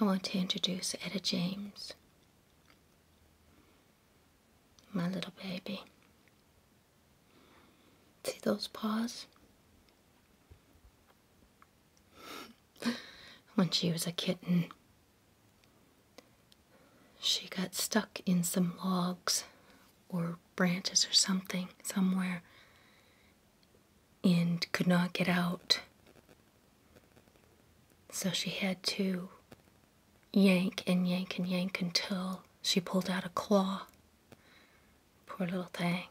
I want to introduce Etta James, my little baby. See those paws? when she was a kitten, she got stuck in some logs or branches or something somewhere, and could not get out. So she had to yank and yank and yank until she pulled out a claw. Poor little thing.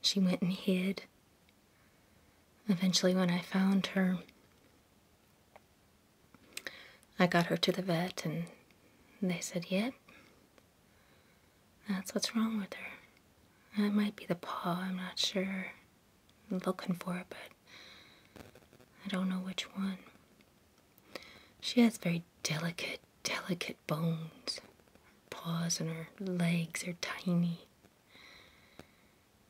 She went and hid. Eventually, when I found her, I got her to the vet and they said, Yep, yeah, that's what's wrong with her. That might be the paw, I'm not sure. I'm looking for it, but I don't know which one. She has very delicate, delicate bones. paws and her legs are tiny.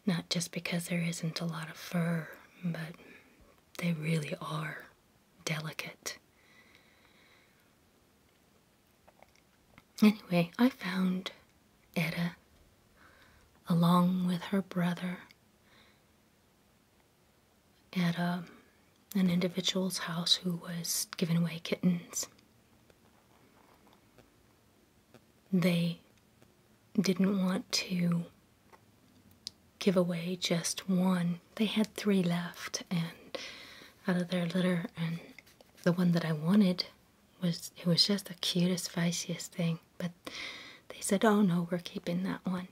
Not just because there isn't a lot of fur, but they really are delicate. Anyway, I found Etta along with her brother at a, um, an individual's house who was giving away kittens. They didn't want to give away just one they had three left, and out of their litter, and the one that I wanted was it was just the cutest, fanciest thing. But they said, "Oh no, we're keeping that one.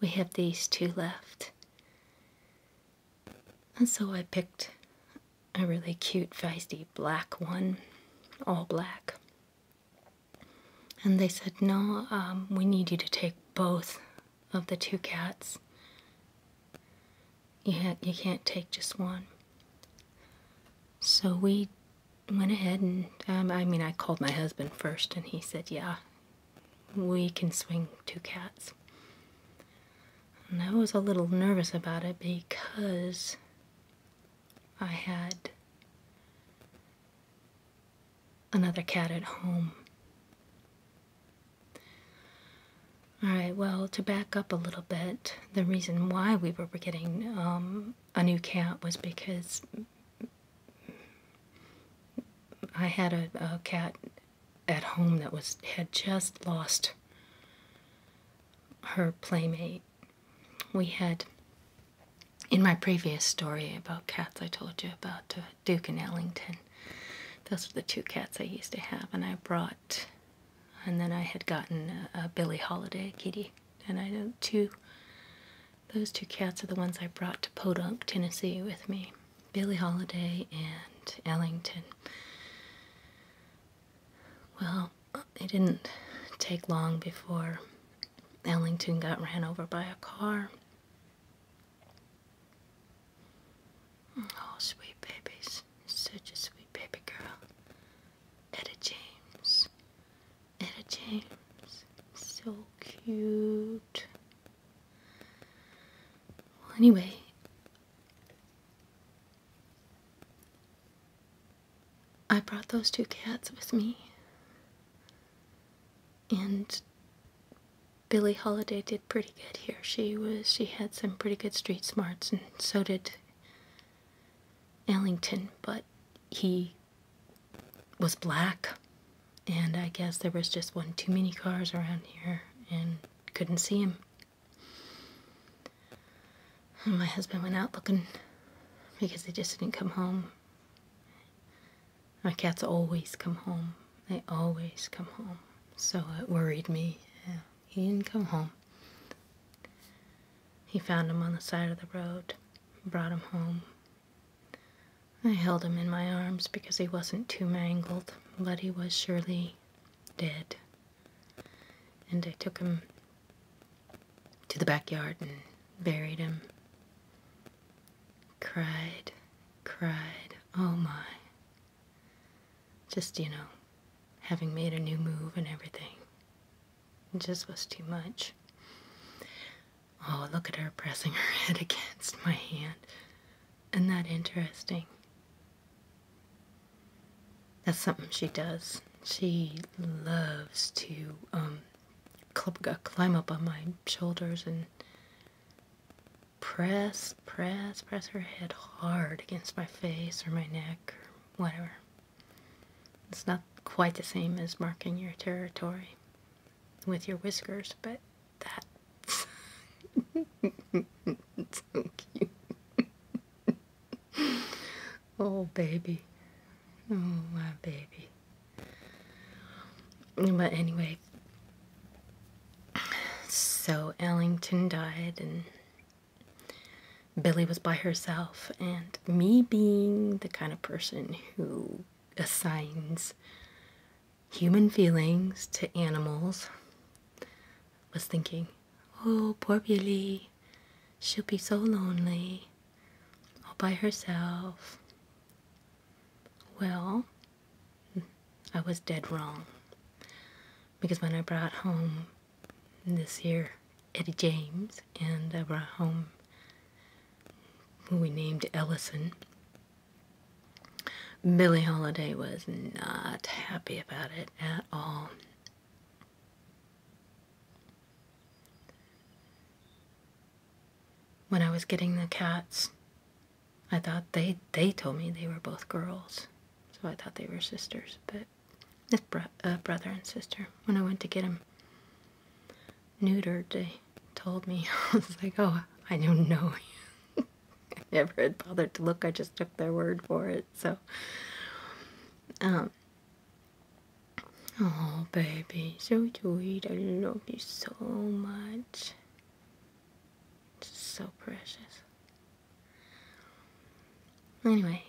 We have these two left." And so I picked a really cute, feisty black one, all black. And they said, No, um, we need you to take both of the two cats. You, had, you can't take just one. So we went ahead and, um, I mean, I called my husband first, and he said, yeah, we can swing two cats. And I was a little nervous about it because I had another cat at home all right, well, to back up a little bit, the reason why we were getting um, a new cat was because I had a, cat at home that was had just lost her playmate. We had in my previous story about cats, I told you about uh, Duke and Ellington. Those were the two cats I used to have, and I brought, and then I had gotten a, Billie Holiday kitty, and I know two. Those two cats are the ones I brought to Podunk, Tennessee, with me. Billie Holiday and Ellington. Well, it didn't take long before Ellington got ran over by a car. Oh, sweet babies. Such a sweet baby girl. Etta James. Etta James. So cute. anyway. I brought those two cats with me. And Billie Holiday did pretty good here. She was she had some pretty good street smarts, and so did Ellington. But he was black, and I guess there was just one too many cars around here, and couldn't see him. And my husband went out looking because he just didn't come home. My cats always come home. They always come home. So it worried me. He didn't come home. He found him on the side of the road, brought him home. I held him in my arms because he wasn't too mangled, but he was surely dead. And I took him to the backyard and buried him. Cried, cried, oh my. Just, you know, having made a new move and everything. just was too much. Oh, look at her pressing her head against my hand. Isn't that interesting? That's something she does. She loves to um, climb up on my shoulders and press, press, press her head hard against my face or my neck or whatever. It's not quite the same as marking your territory with your whiskers, but that's so cute. oh, baby. Oh, my baby. But anyway, so Ellington died, and Billy was by herself. And me being the kind of person who assigns human feelings to animals, was thinking, oh, poor Billy, she'll be so lonely all by herself. Well, I was dead wrong. Because when I brought home this year Eddie James and I brought home who we named Ellison, Billie Holiday was not happy about it at all. When I was getting the cats I thought they they told me they were both girls, so I thought they were sisters, but this uh, brother and sister. When I went to get him neutered, they told me. I was like, oh, I don't know. I never had bothered to look. I just took their word for it. So, um, oh, baby, so sweet. I love you so much. It's so precious. Anyway,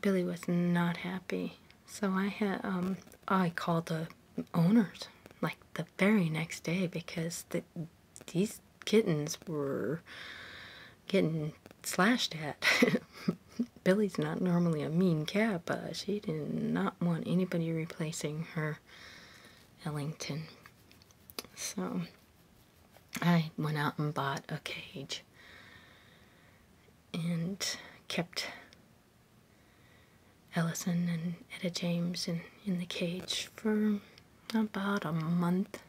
Billy was not happy. So I had um I called the owners like the very next day because the, these kittens were getting slashed at. Billy's not normally a mean cat, but she did not want anybody Placing her Ellington. So I went out and bought a cage and kept Ellison and Etta James in, in the cage for about a month.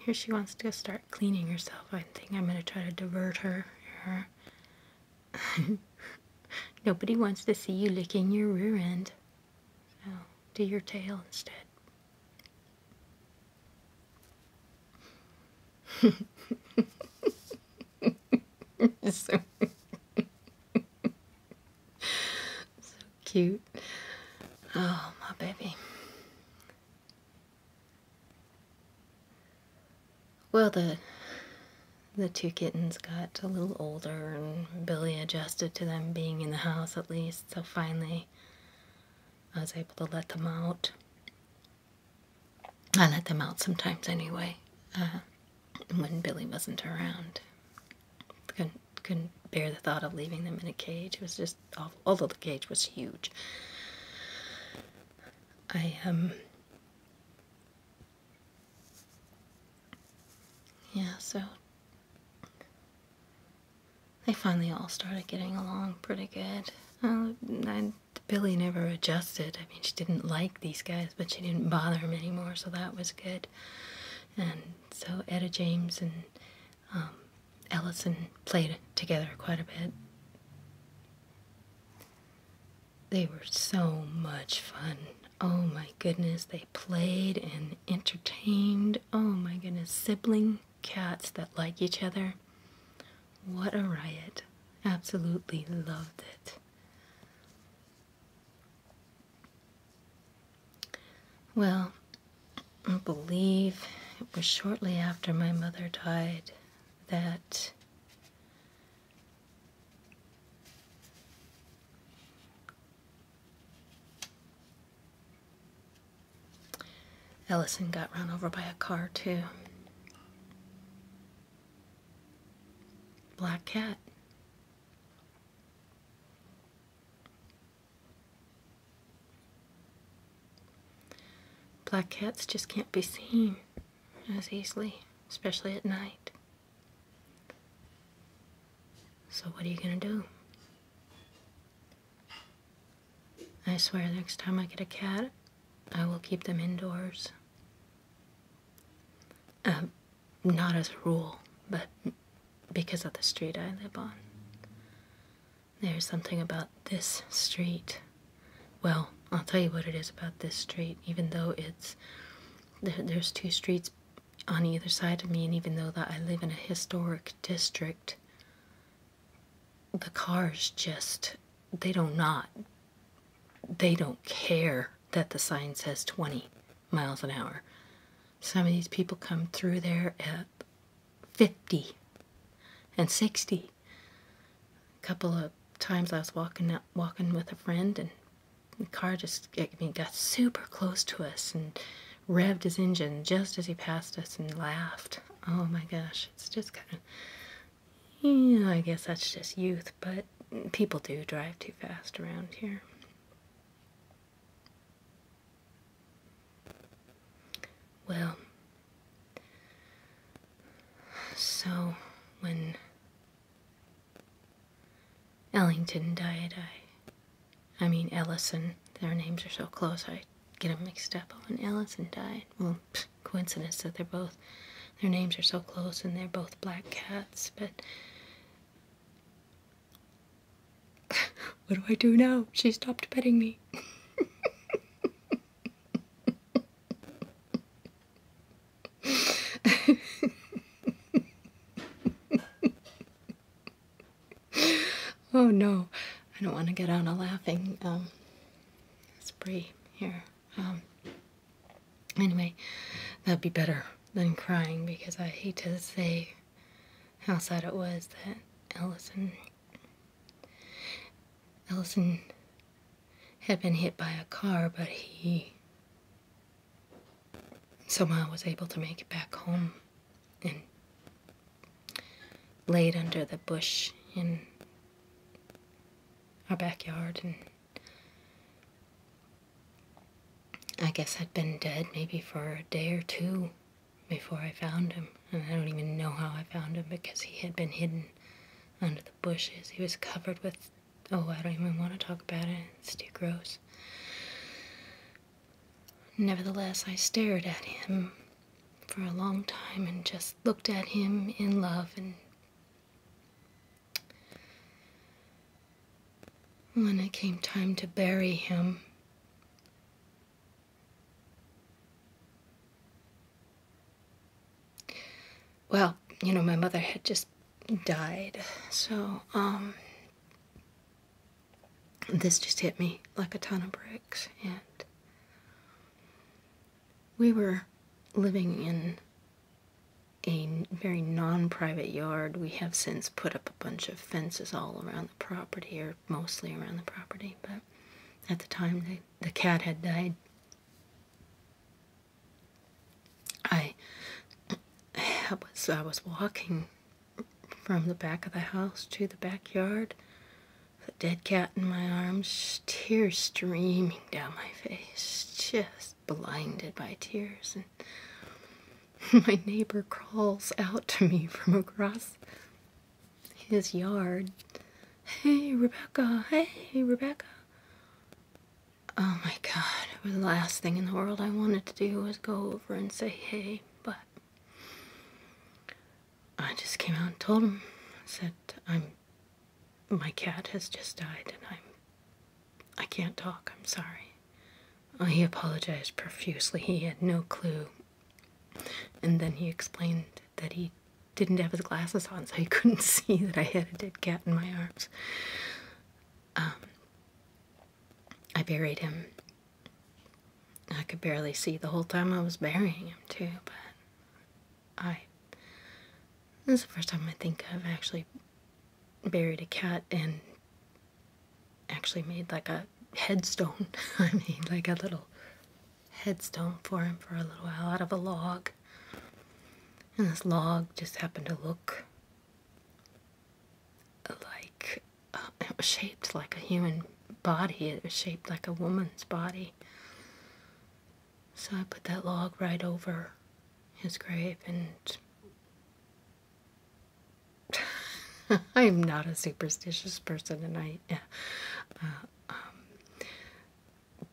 Here she wants to start cleaning herself. I think I'm going to try to divert her, her Nobody wants to see you licking your rear end. So do your tail instead. so, cute. Oh, my baby. Well, the the two kittens got a little older, and Billy adjusted to them being in the house at least. So finally, I was able to let them out. I let them out sometimes anyway, uh, when Billy wasn't around. Couldn't couldn't bear the thought of leaving them in a cage. It was just awful. Although the cage was huge. I um yeah, so they finally all started getting along pretty good. Uh, I, Billy never adjusted. I mean, she didn't like these guys, but she didn't bother him anymore, so that was good. And so Etta James and um, Ellison played together quite a bit. They were so much fun. Oh my goodness, they played and entertained. Oh my goodness, sibling cats that like each other. What a riot. Absolutely loved it. Well, I believe it was shortly after my mother died that Ellison got run over by a car, too. Black cat. Black cats just can't be seen as easily, especially at night. So, what are you gonna do? I swear, next time I get a cat, I will keep them indoors. Um, not as a rule, but because of the street I live on. There's something about this street. Well, I'll tell you what it is about this street, even though it's there's two streets on either side of me, and even though that I live in a historic district, the cars just they don't not they don't care that the sign says 20 miles an hour. Some of these people come through there at 50 and 60 a couple of times I was walking walking with a friend, and the car just got super close to us and revved his engine just as he passed us and laughed. Oh my gosh, it's just kind of, I guess that's just youth, but people do drive too fast around here. Well, so when Ellington died, I. I mean, Ellison. Their names are so close, I get them mixed up. Oh, Ellison died. Well, coincidence that they're both. Their names are so close and they're both black cats, but. What do I do now? She stopped petting me. oh no, I don't want to get on a laughing um, spree here. Um, anyway, that'd be better than crying because I hate to say how sad it was that Ellison Ellison had been hit by a car, but he somehow was able to make it back home and laid under the bush in our backyard and I guess I'd been dead maybe for a day or two before I found him, and I don't even know how I found him because he had been hidden under the bushes. He was covered with. Oh, I don't even want to talk about it. It's too gross. Nevertheless, I stared at him for a long time and just looked at him in love and. When it came time to bury him, well, you know, my mother had just died, so, um, this just hit me like a ton of bricks, and we were living in a very non-private yard. We have since put up a bunch of fences all around the property, or mostly around the property, but at the time the cat had died. I, I was I was walking from the back of the house to the backyard, the dead cat in my arms, tears streaming down my face, just blinded by tears. And my neighbor crawls out to me from across his yard. Hey, Rebecca. Hey, Rebecca. Oh my god, the last thing in the world I wanted to do was go over and say hey, but I just came out and told him. I said, I'm, my cat has just died and I'm, I can't talk, I'm sorry. he apologized profusely. He had no clue and then he explained that he didn't have his glasses on, so he couldn't see that I had a dead cat in my arms. Um, I buried him. I could barely see the whole time I was burying him, too, but I. This is the first time I think I've actually buried a cat and actually made like a headstone. I mean, like a little headstone for him for a little while out of a log. And this log just happened to look like uh, it was shaped like a human body, it was shaped like a woman's body. So I put that log right over his grave and I'm not a superstitious person, and I, uh, um,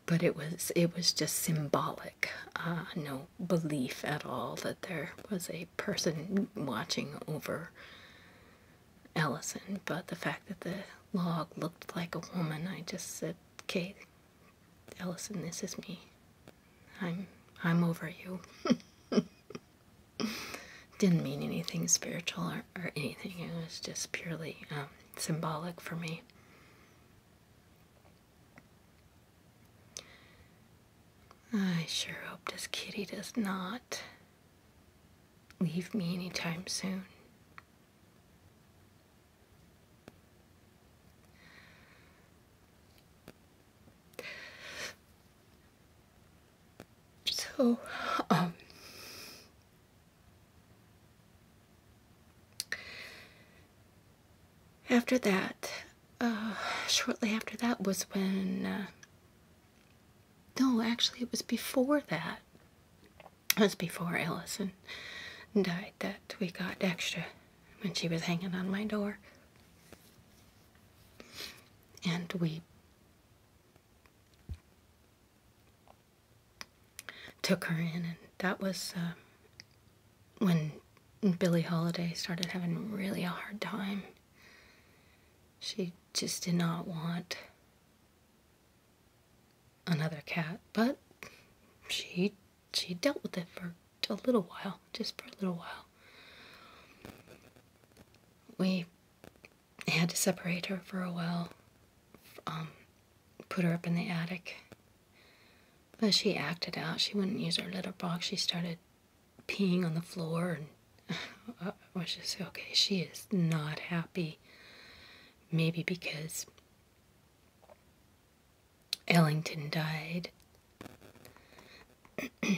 but it was it was just symbolic. Uh, no belief at all that there was a person watching over Ellison. But the fact that the log looked like a woman, I just said, "Kate, Ellison, this is me. I'm I'm over you." didn't mean anything spiritual or, or anything. It was just purely um, symbolic for me. I sure hope this kitty does not leave me anytime soon. So, um, after that, uh, shortly after that was when, uh, no, actually, it was before that. It was before Allison died that we got Dexter, when she was hanging on my door. And we took her in, and that was uh, when Billie Holiday started having really a hard time. She just did not want another cat, but she she dealt with it for a little while, just for a little while. We had to separate her for a while, um, put her up in the attic. But she acted out. She wouldn't use her litter box. She started peeing on the floor, and uh, I was just okay. She is not happy. Maybe because Ellington died and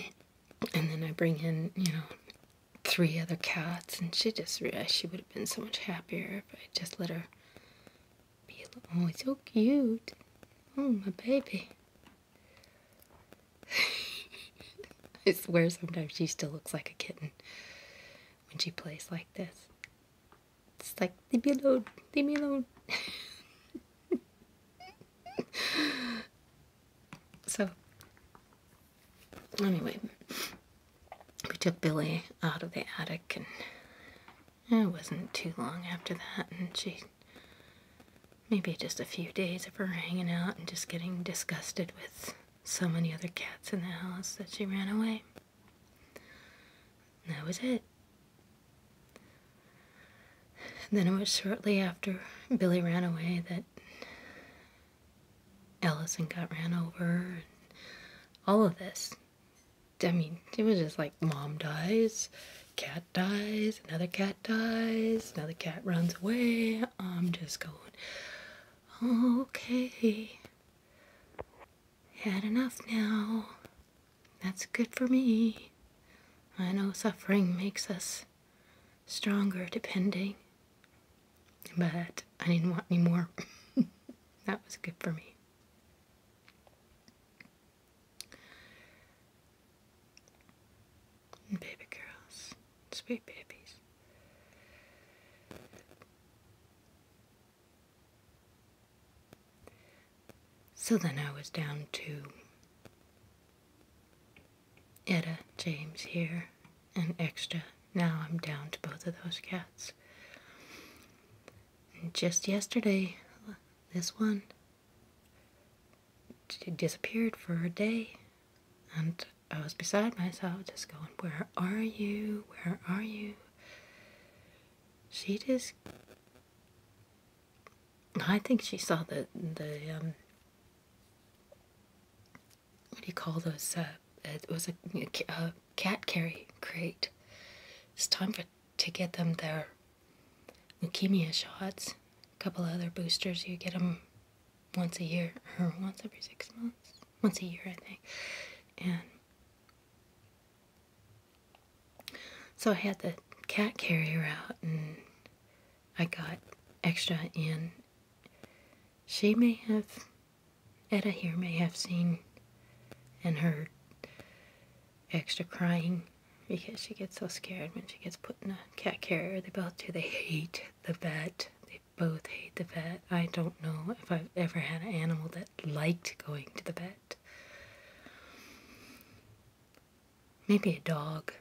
then I bring in, you know, three other cats, and she just realized she would have been so much happier if I just let her be alone. Oh, it's so cute. Oh, my baby. I swear sometimes she still looks like a kitten when she plays like this. It's like, leave me alone, leave me alone. so, anyway, we took Billy out of the attic, and it wasn't too long after that, and she maybe just a few days of her hanging out and just getting disgusted with so many other cats in the house that she ran away. that was it. And then it was shortly after Billy ran away that Allison got ran over. And all of this. I mean, it was just like mom dies, cat dies, another cat dies, another cat runs away. I'm just going, okay, had enough now. That's good for me. I know suffering makes us stronger depending, but I didn't want any more. that was good for me. baby girls, sweet babies. So then I was down to Etta, James here, and extra. Now I'm down to both of those cats. just yesterday, this one disappeared for a day, and I was beside myself just going, Where are you? Where are you? She just I think she saw the the um, what do you call those? Uh, it was a, a, cat carry crate. It's time for to get them their leukemia shots. A couple other boosters. You get them once a year or once every six months. Once a year, I think. And so I had the cat carrier out and I got extra in. She may have, Etta here may have seen and heard extra crying because she gets so scared when she gets put in a cat carrier. They both do. They hate the vet. They both hate the vet. I don't know if I've ever had an animal that liked going to the vet. Maybe a dog.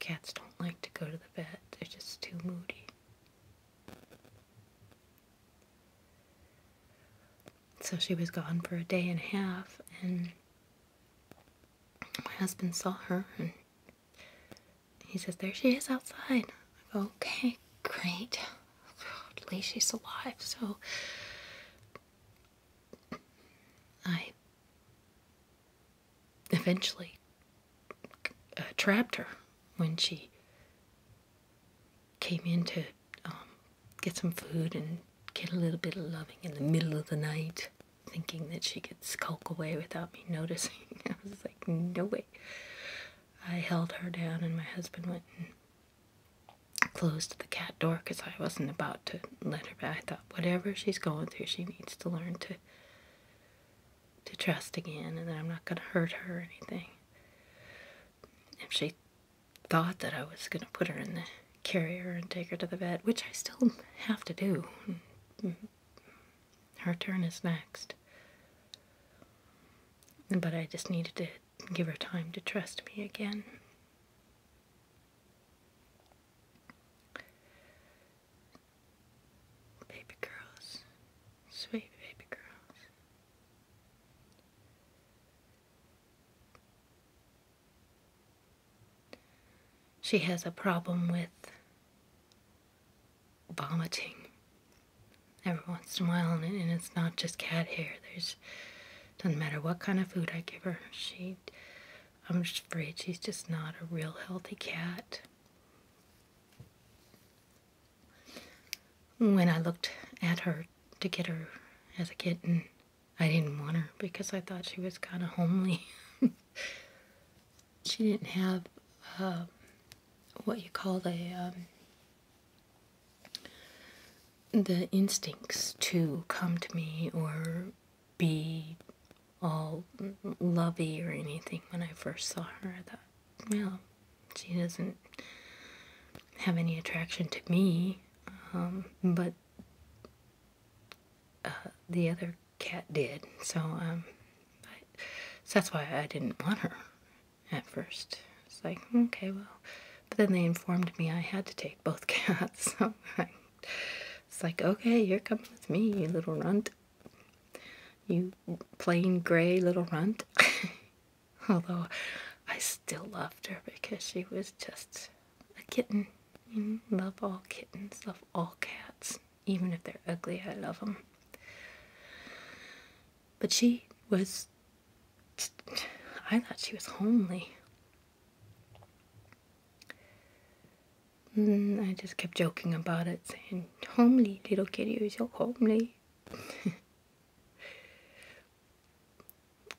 Cats don't like to go to the vet, they're just too moody. So she was gone for a day and a half, and my husband saw her, and he says, There she is outside. I go, Okay, great. At least she's alive. So I eventually uh, trapped her when she came in to um, get some food and get a little bit of loving in the middle of the night, thinking that she could skulk away without me noticing. I was like, no way. I held her down, and my husband went and closed the cat door because I wasn't about to let her back. I thought whatever she's going through, she needs to learn to to trust again and I'm not gonna hurt her or anything. If she thought that I was gonna put her in the carrier and take her to the vet, which I still have to do. Her turn is next. But I just needed to give her time to trust me again. Baby girls, sweet baby girls. She has a problem with vomiting every once in a while, and it's not just cat hair. There's doesn't matter what kind of food I give her. She, I'm afraid she's just not a real healthy cat. When I looked at her to get her as a kitten, I didn't want her because I thought she was kind of homely. she didn't have uh, what you call the the instincts to come to me or be all lovey or anything when I first saw her. I thought, well, she doesn't have any attraction to me. Um, but uh, the other cat did. Um, so that's why I didn't want her at first. It's like, okay, well, but then they informed me I had to take both cats. it's like, okay, you're coming with me, you little runt. You plain gray little runt. Although I still loved her because she was just a kitten. love all kittens, love all cats. Even if they're ugly, I love them. But she was. I thought she was homely. Mm, I just kept joking about it, saying, Homely little kitty, you're so homely.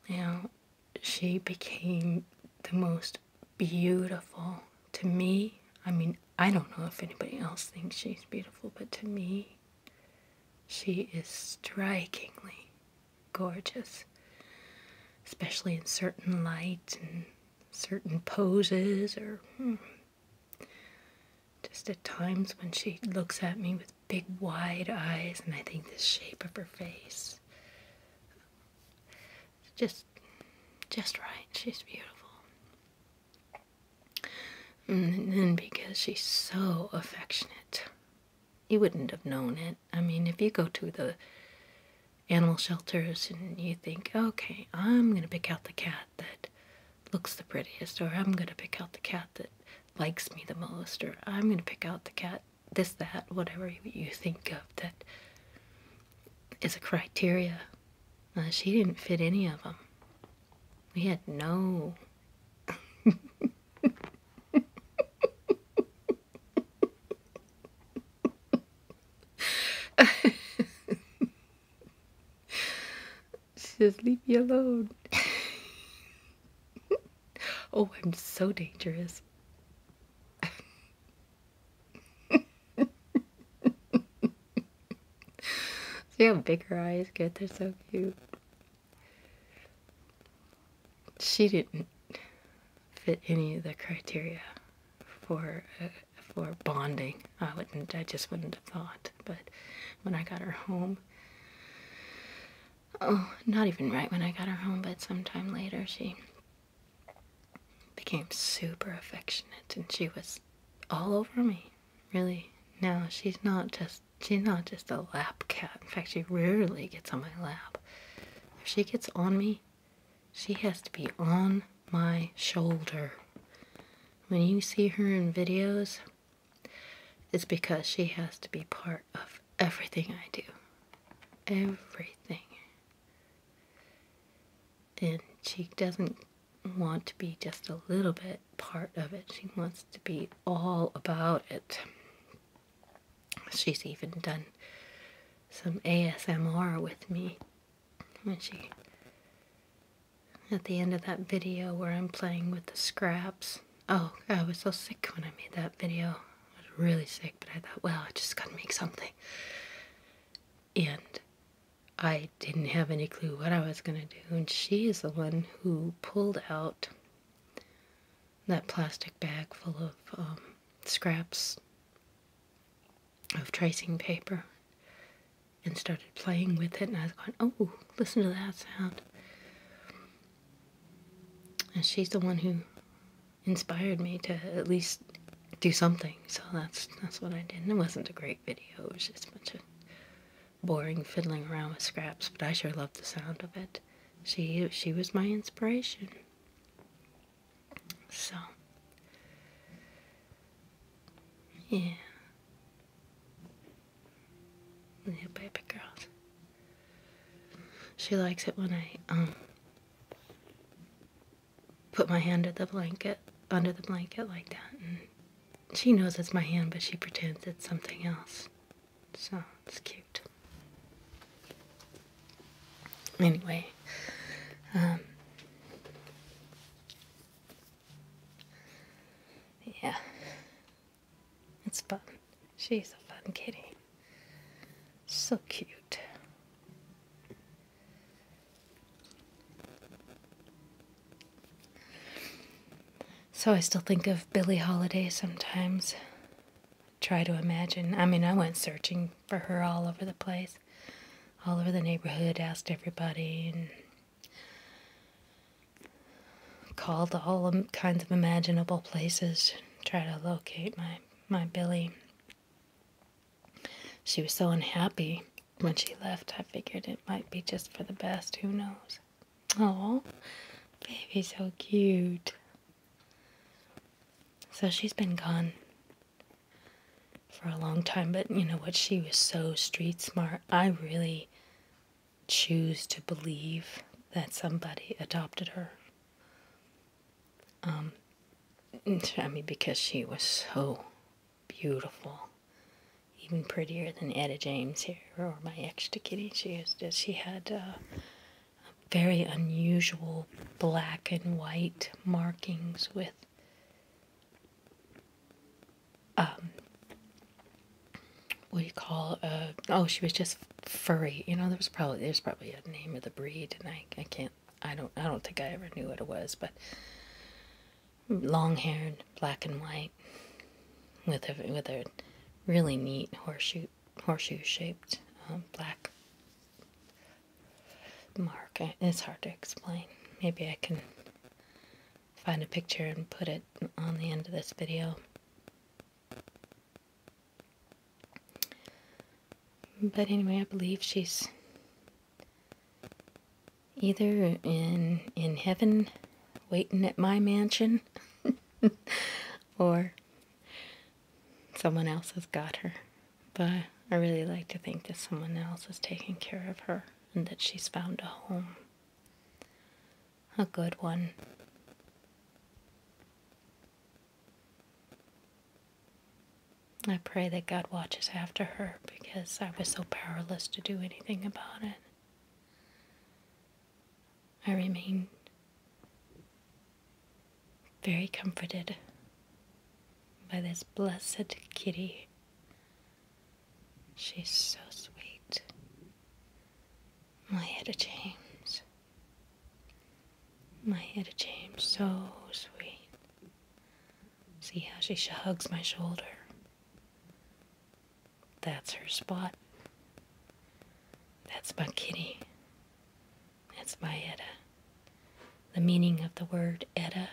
now, she became the most beautiful to me. I mean, I don't know if anybody else thinks she's beautiful, but to me, she is strikingly gorgeous, especially in certain lights and certain poses, or hmm, just at times when she looks at me with big wide eyes, and I think the shape of her face just just right. She's beautiful. And then because she's so affectionate, you wouldn't have known it. I mean, if you go to the animal shelters and you think, okay, I'm going to pick out the cat that looks the prettiest, or I'm going to pick out the cat that likes me the most, or I'm going to pick out the cat, this, that, whatever you think of that is a criteria. Uh, she didn't fit any of them. We had no Just leave me alone. oh, I'm so dangerous. See how big her eyes get? They're so cute she didn't fit any of the criteria for uh, for bonding. I wouldn't. I just wouldn't have thought. But when I got her home, oh, not even right when I got her home, but sometime later, she became super affectionate, and she was all over me. Really. Now she's not just she's not just a lap cat. In fact, she rarely gets on my lap. If she gets on me, she has to be on my shoulder. When you see her in videos, it's because she has to be part of everything I do. Everything. And she doesn't want to be just a little bit part of it. She wants to be all about it. She's even done some ASMR with me when she at the end of that video where I'm playing with the scraps. Oh, I was so sick when I made that video. I was really sick, but I thought, well, I just gotta make something. And I didn't have any clue what I was gonna do, and she is the one who pulled out that plastic bag full of um, scraps of tracing paper and started playing with it. And I was going, oh, listen to that sound. And she's the one who inspired me to at least do something. So that's that's what I did. And it wasn't a great video. It was just a bunch of boring fiddling around with scraps, but I sure loved the sound of it. She she was my inspiration. So yeah. Yeah, baby girls. She likes it when I um put my hand under the blanket under the blanket like that and she knows it's my hand but she pretends it's something else so it's cute. Anyway, um, yeah, it's fun. She's a fun kitty. So cute. So I still think of Billie Holiday sometimes. Try to imagine. I mean, I went searching for her all over the place, all over the neighborhood, asked everybody, and called all kinds of imaginable places try to locate my, my Billie. She was so unhappy when she left, I figured it might be just for the best. Who knows? Oh, baby, so cute. So she's been gone for a long time, but you know what? She was so street smart. I really choose to believe that somebody adopted her. Um, I mean, because she was so beautiful even prettier than Etta James here, or my extra kitty. She is she had uh, very unusual black and white markings with um, what do you call uh oh she was just furry you know there was probably there's probably a name of the breed and I, I can't I don't I don't think I ever knew what it was but long-haired, black and white, with a with a really neat horseshoe horseshoe-shaped um, black mark. It's hard to explain. Maybe I can find a picture and put it on the end of this video. But anyway, I believe she's either in in heaven waiting at my mansion or someone else has got her. But I really like to think that someone else is taking care of her and that she's found a home. A good one. I pray that God watches after her because I was so powerless to do anything about it. I remain very comforted by this blessed kitty. She's so sweet. My Etta James. My Etta James, so sweet. See how she hugs my shoulder. That's her spot. That's my kitty. That's my Etta. The meaning of the word Etta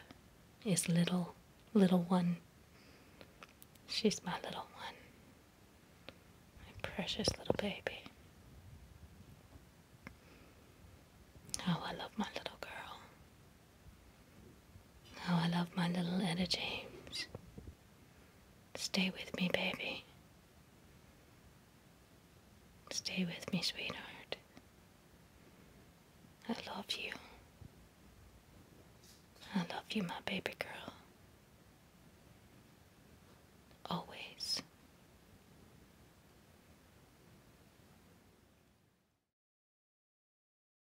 is little, little one. She's my little one. My precious little baby. Oh, I love my little girl. Oh, I love my little Etta James. Stay with me, baby. Stay with me, sweetheart. I love you. I love you, my baby girl. Always.